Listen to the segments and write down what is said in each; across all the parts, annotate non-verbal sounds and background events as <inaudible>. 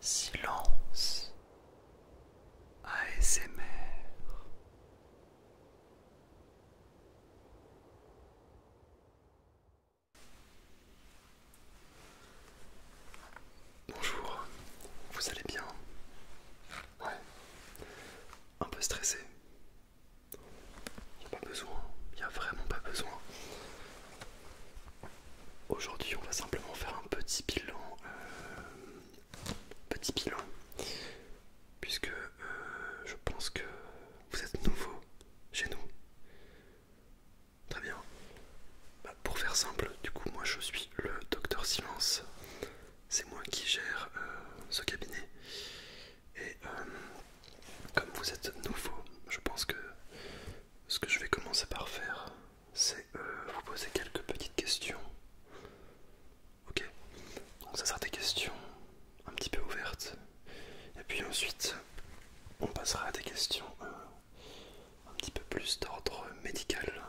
Silence ASMR Bonjour, vous allez bien un peu stressé. pas besoin, il a vraiment pas besoin. Aujourd'hui, on va simplement faire un petit bilan, euh, petit bilan, puisque euh, je pense que vous êtes nouveau chez nous. Très bien. Bah, pour faire simple, du coup, moi je suis le docteur Silence. C'est moi qui gère euh, ce cabinet. Et comme vous êtes nouveau, je pense que ce que je vais commencer par faire, c'est euh, vous poser quelques petites questions. Ok Donc ça sera des questions un petit peu ouvertes. Et puis ensuite, on passera à des questions euh, un petit peu plus d'ordre médical.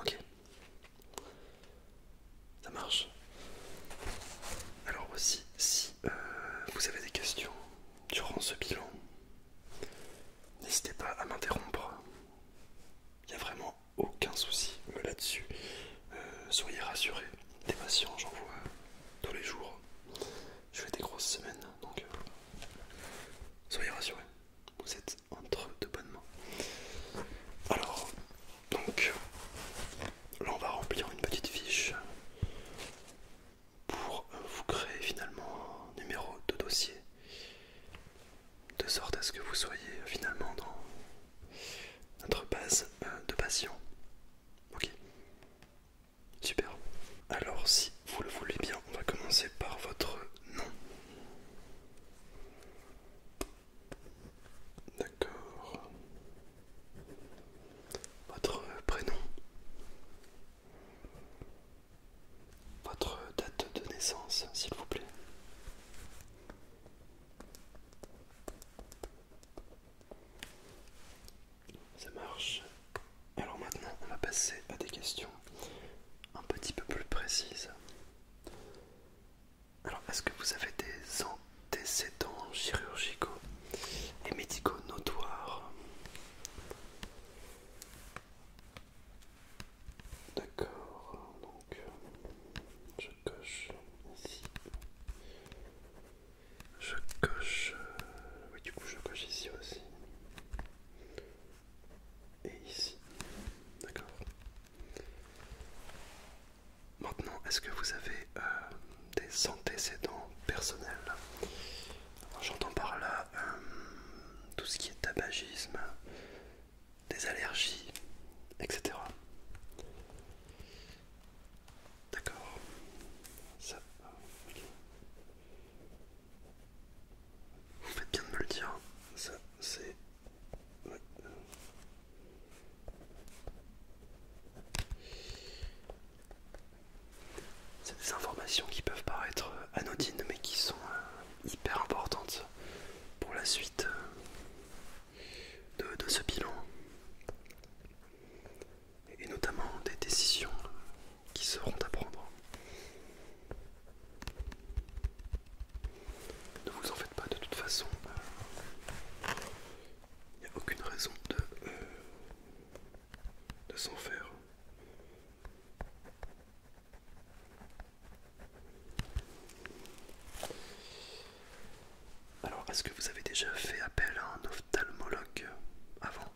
Ok Ça marche Alors aussi, si euh, vous avez des questions, durant ce bilan. N'hésitez pas à m'interrompre. Il n'y a vraiment aucun souci là-dessus. Euh, soyez rassurés. Des patients, j'en vois tous les jours. Je fais des grosses semaines, donc euh, soyez rassurés. Vous êtes entre de bonnes mains. Alors, donc, là on va remplir une petite fiche pour vous créer finalement un numéro de dossier de sorte à ce que vous soyez finalement dans notre base euh, de patients. Ok Super. Alors si vous le voulez bien, on va commencer par votre nom. D'accord votre prénom, votre date de naissance, s'il vous plaît. Ça marche. Alors maintenant, on va passer à des questions un petit peu plus précises. Alors, est-ce que vous avez des ans « Décédents chirurgicaux et médicaux notoires. D'accord, donc je coche ici. Je coche. Euh, oui, du coup, je coche ici aussi. Et ici. D'accord. Maintenant, est-ce que vous avez euh, des antécédents personnels J'entends par là euh, tout ce qui est tabagisme, des allergies, etc. D'accord. Ça. Vous faites bien de me le dire. Ça, c'est. C'est des informations qui peuvent paraître anodines mais qui sont euh, hyper importantes pour la suite euh, de ce bilan et notamment des décisions qui seront à prendre. Ne vous en faites pas de toute façon. Il n'y a aucune raison de, euh, de s'en faire. Alors, est-ce que vous avez déjà fait appel à un ophtalmologue avant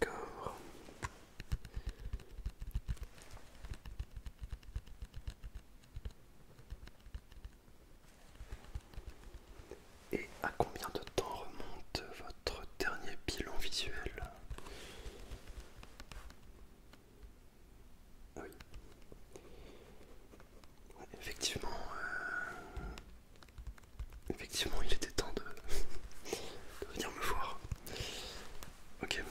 D'accord. Et à combien de temps remonte votre dernier bilan visuel oui. effectivement, euh, effectivement, il était temps de, <laughs> de venir me voir. Ok.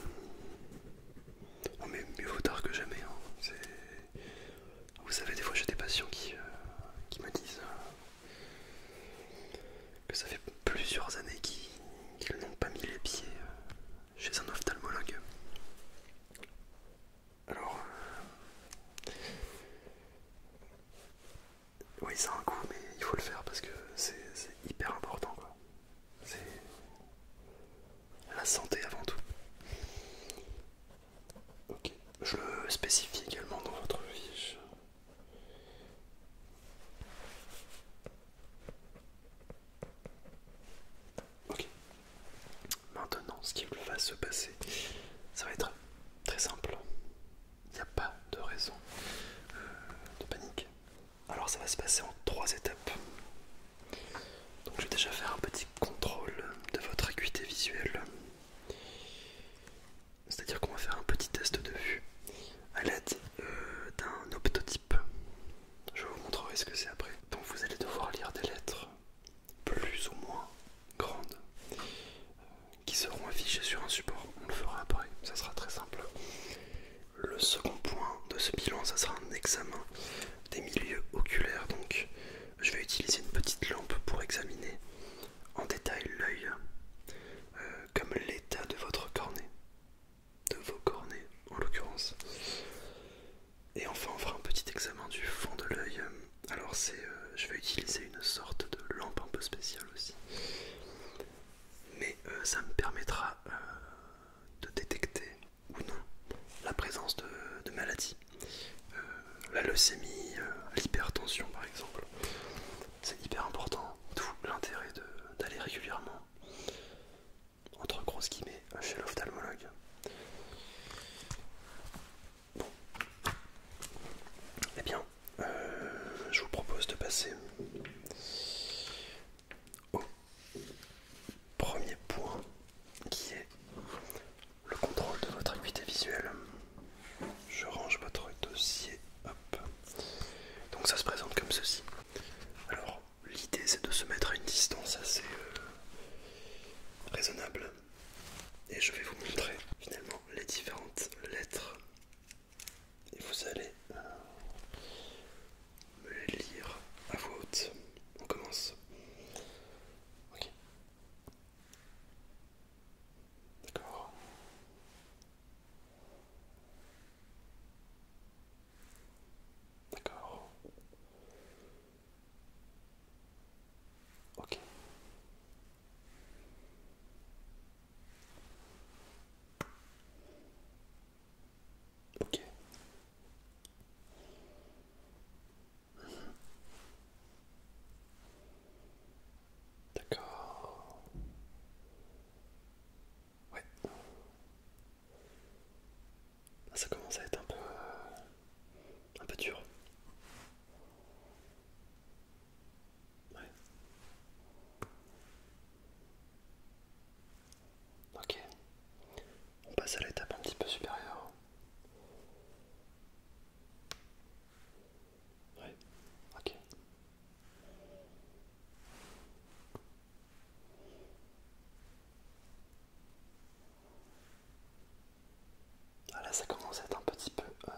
Non mais mieux vaut tard que jamais. Hein. Vous savez, des fois j'ai des patients qui, euh, me disent euh, que ça fait plusieurs années qu'ils n'ont pas mis les pieds euh, chez un ophtalmologue. Alors, oui, ça a un coût, mais il faut le faire parce que c'est hyper important. Quoi. C'est la santé avant tout. Ok, je le spécifie également dans votre fiche. Ok. Maintenant, ce qui va se passer, ça va être très simple. Il n'y a pas de raison euh, de panique. Alors ça va se passer en trois étapes. Donc je vais déjà faire un petit contrôle de votre acuité visuelle. C'est-à-dire qu'on va faire un petit test de vue à l'aide euh, d'un optotype. Je vous montrerai ce que c'est après. Donc vous allez devoir lire des lettres plus ou moins grandes euh, qui seront affichées sur un support. On le fera après, ça sera très simple. Le second point de ce bilan, ça sera un examen des milieux oculaires. Donc, je vais utiliser une petite lampe pour examiner en détail l'œil, euh, comme l'état de votre cornée, de vos cornets en l'occurrence. Et enfin, on fera un petit examen du fond de l'œil. Alors, c'est, euh, je vais utiliser une sorte de lampe un peu spéciale aussi mais euh, ça me permettra euh, de détecter ou non la présence de, maladies. Euh, la leucémie, l'hypertension par exemple. C'est hyper important, d'où l'intérêt d'aller régulièrement, entre grosses guillemets, chez l'ophtalmologue. Bon. Eh bien, euh, je vous propose de passer au premier point qui est le contrôle de votre acuité visuelle. Je range votre dossier. Donc ça se présente comme ceci. Alors l'idée c'est de se mettre à une distance assez euh, raisonnable et je vais vous montrer finalement les différentes lettres et vous allez euh, me les lire à voix haute. On commence. D'accord. D'accord. Ok. D'accord. Ouais. Ça commence à être un peu... Euh, un peu dur. Ouais. Ok. On passe à l'étape un petit peu supérieure. Ouais. Ok. Ah là ça commence à être un petit peu... Euh,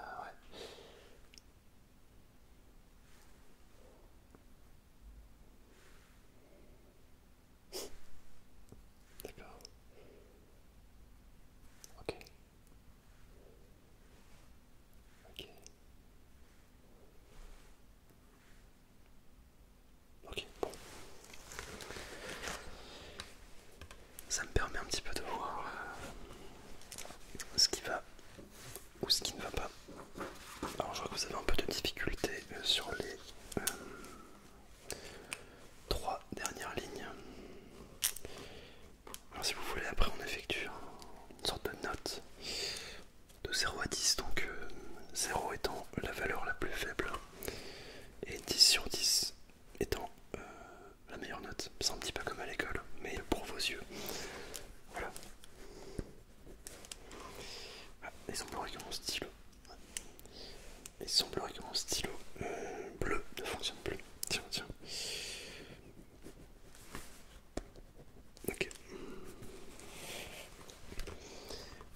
Ok. Ok. Ok, bon. Ça me permet un petit peu de voir euh, ce qui va ou ce qui ne va pas. Alors je vois que vous avez un peu de difficulté euh, sur les euh, trois dernières lignes. Alors si vous voulez après on effectue une sorte de note de 0 à 10, donc 0 euh, étant la valeur la plus faible et 10 sur 10 étant euh, la meilleure note. C'est un petit pas comme à l'école, mais pour vos yeux. Voilà. Ah, il semblerait que mon stylo. Il semblerait que mon stylo euh, bleu ne fonctionne plus. Tiens, tiens. Ok.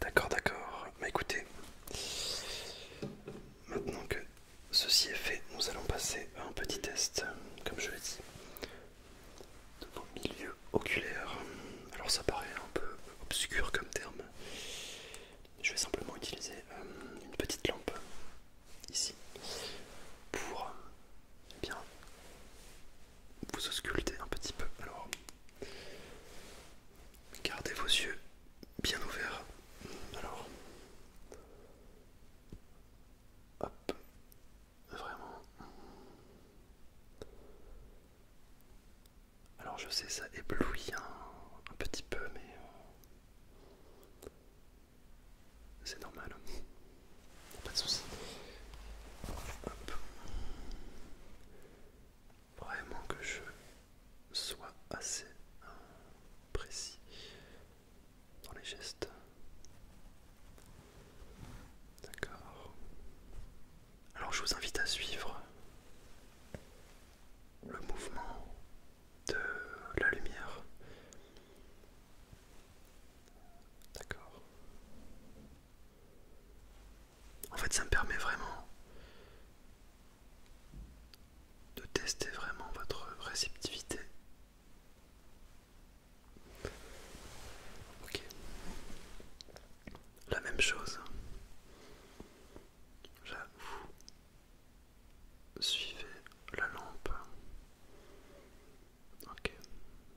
D'accord, d'accord. Bah écoutez, maintenant que ceci est fait, nous allons passer à un petit test, comme je l'ai dit, de vos milieux oculaires. Alors ça paraît un peu obscur comme terme. Je vais simplement utiliser euh, une petite lampe ici pour eh bien vous ausculter un petit peu. Alors gardez vos yeux bien ouverts. Alors Hop. Vraiment. Alors je sais ça éblouit un, petit peu mais euh, c'est normal. Pas de soucis. Hop. Vraiment que je sois assez euh, précis dans les gestes. D'accord. Alors je vous invite à suivre le mouvement de la lumière. D'accord. En fait, ça me permet vraiment de tester vraiment votre réceptivité Ok. La même chose. vous Suivez la lampe. Ok.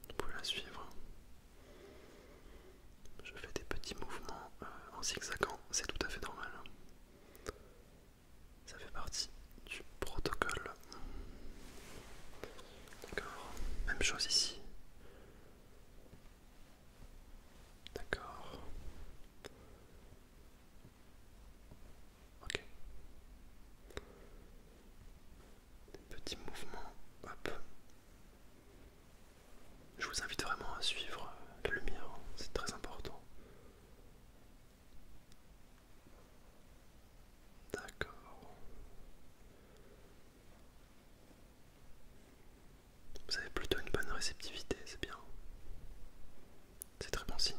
Vous pouvez la suivre. Je fais des petits mouvements euh, en zigzagant, c'est tout à fait normal. Ça fait partie du protocole. D'accord. Même chose ici. D'accord. Ok. Des petits mouvements. Hop. Je vous invite vraiment à suivre la lumière, hein. c'est très important. D'accord. Vous avez plutôt une bonne réceptivité, c'est bien. C'est très bon signe.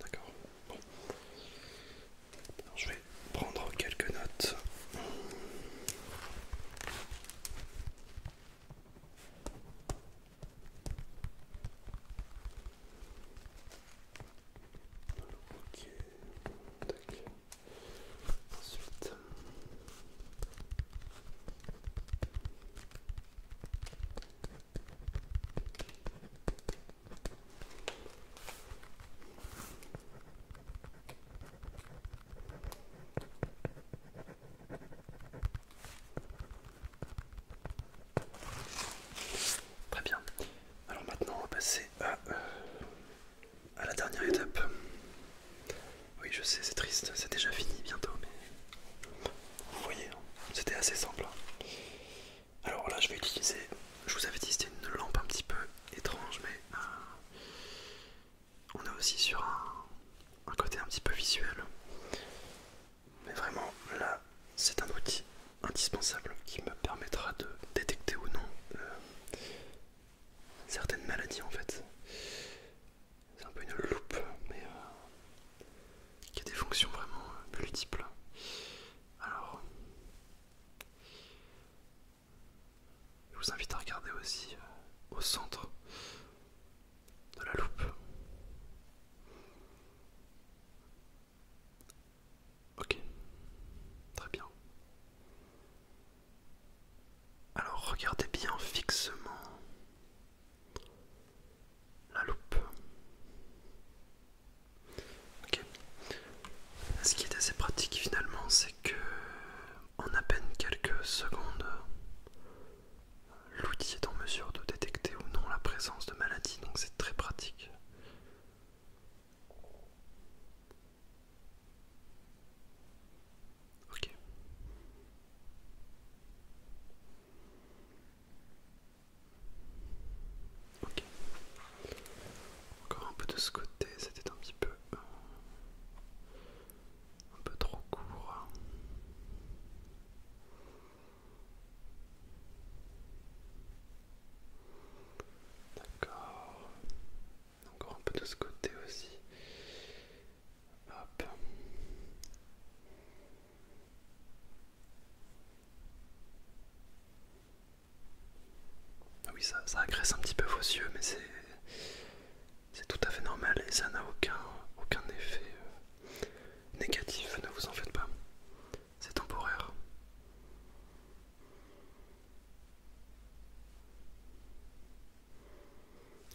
D'accord. Bon. je vais prendre quelques notes. Ok, Ensuite. Très bien. Alors maintenant on va passer euh, à, la dernière étape. Oui je sais c'est triste, c'est déjà fini bientôt mais vous voyez hein, c'était assez simple. Hein. Alors là je vais utiliser, je vous avais dit c'était une lampe un petit peu étrange mais euh, on est aussi sur un, côté un petit peu visuel. Mais vraiment, là, c'est un outil indispensable qui me permettra de détecter ou non euh, certaines maladies en fait. C'est un peu une loupe, mais euh, qui a des fonctions vraiment euh, multiples. Alors, je vous invite à regarder aussi euh, au centre de la loupe. Ok, très bien. Alors regardez bien fixement la loupe. Ok. Ce qui est assez pratique finalement, c'est que en à peine quelques secondes, l'outil est en mesure de détecter ou non la présence de maladie, donc c'est très pratique. Ok. Ok. Encore un peu de ce côté, c'était un petit peu... Euh, un peu trop court. D'accord. Encore un peu de ce côté aussi. Hop. Ah oui, ça, ça agresse un petit peu vos yeux, mais c'est c'est tout à fait normal et ça n'a aucun, aucun effet euh, négatif, ne vous en faites pas. C'est temporaire.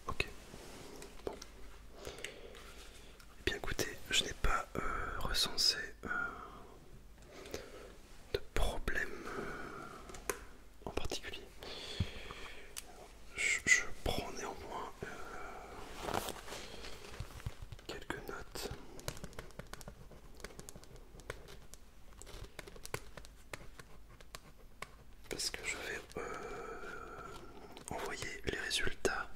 Ok. Bon. Eh bien écoutez, je n'ai pas euh, recensé euh, de problème en particulier. Je, prends néanmoins euh, quelques notes. Parce que je vais euh, envoyer les résultats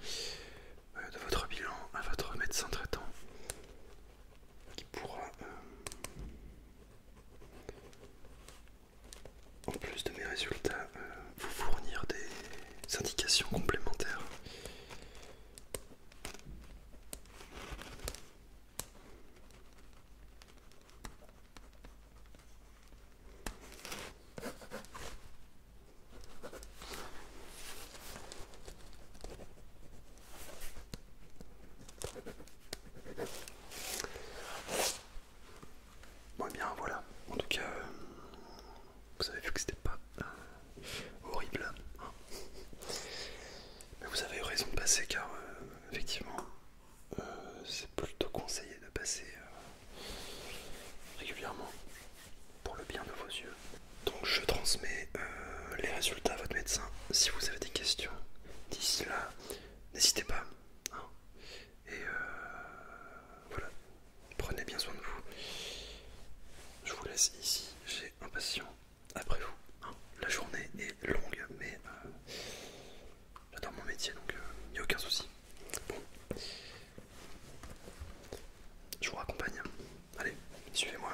euh, de votre bilan à votre médecin traitant qui pourra en plus de mes résultats, euh, vous fournir des indications complémentaires. Bon, et eh bien voilà, en tout cas, euh, vous avez vu que c'était pas euh, horrible. Mais vous avez eu raison de passer car, euh, effectivement, c'est plutôt conseillé de passer régulièrement pour le bien de vos yeux. Donc je transmets les résultats à votre médecin si vous avez des questions. D'ici là, n'hésitez pas. Hein. Et euh, voilà, prenez bien soin de vous. Je vous laisse ici, j'ai un patient après vous. Hein. La journée est longue, mais euh, j'adore mon métier, donc il euh, n'y a aucun souci. Bon, je vous raccompagne. Allez, suivez-moi.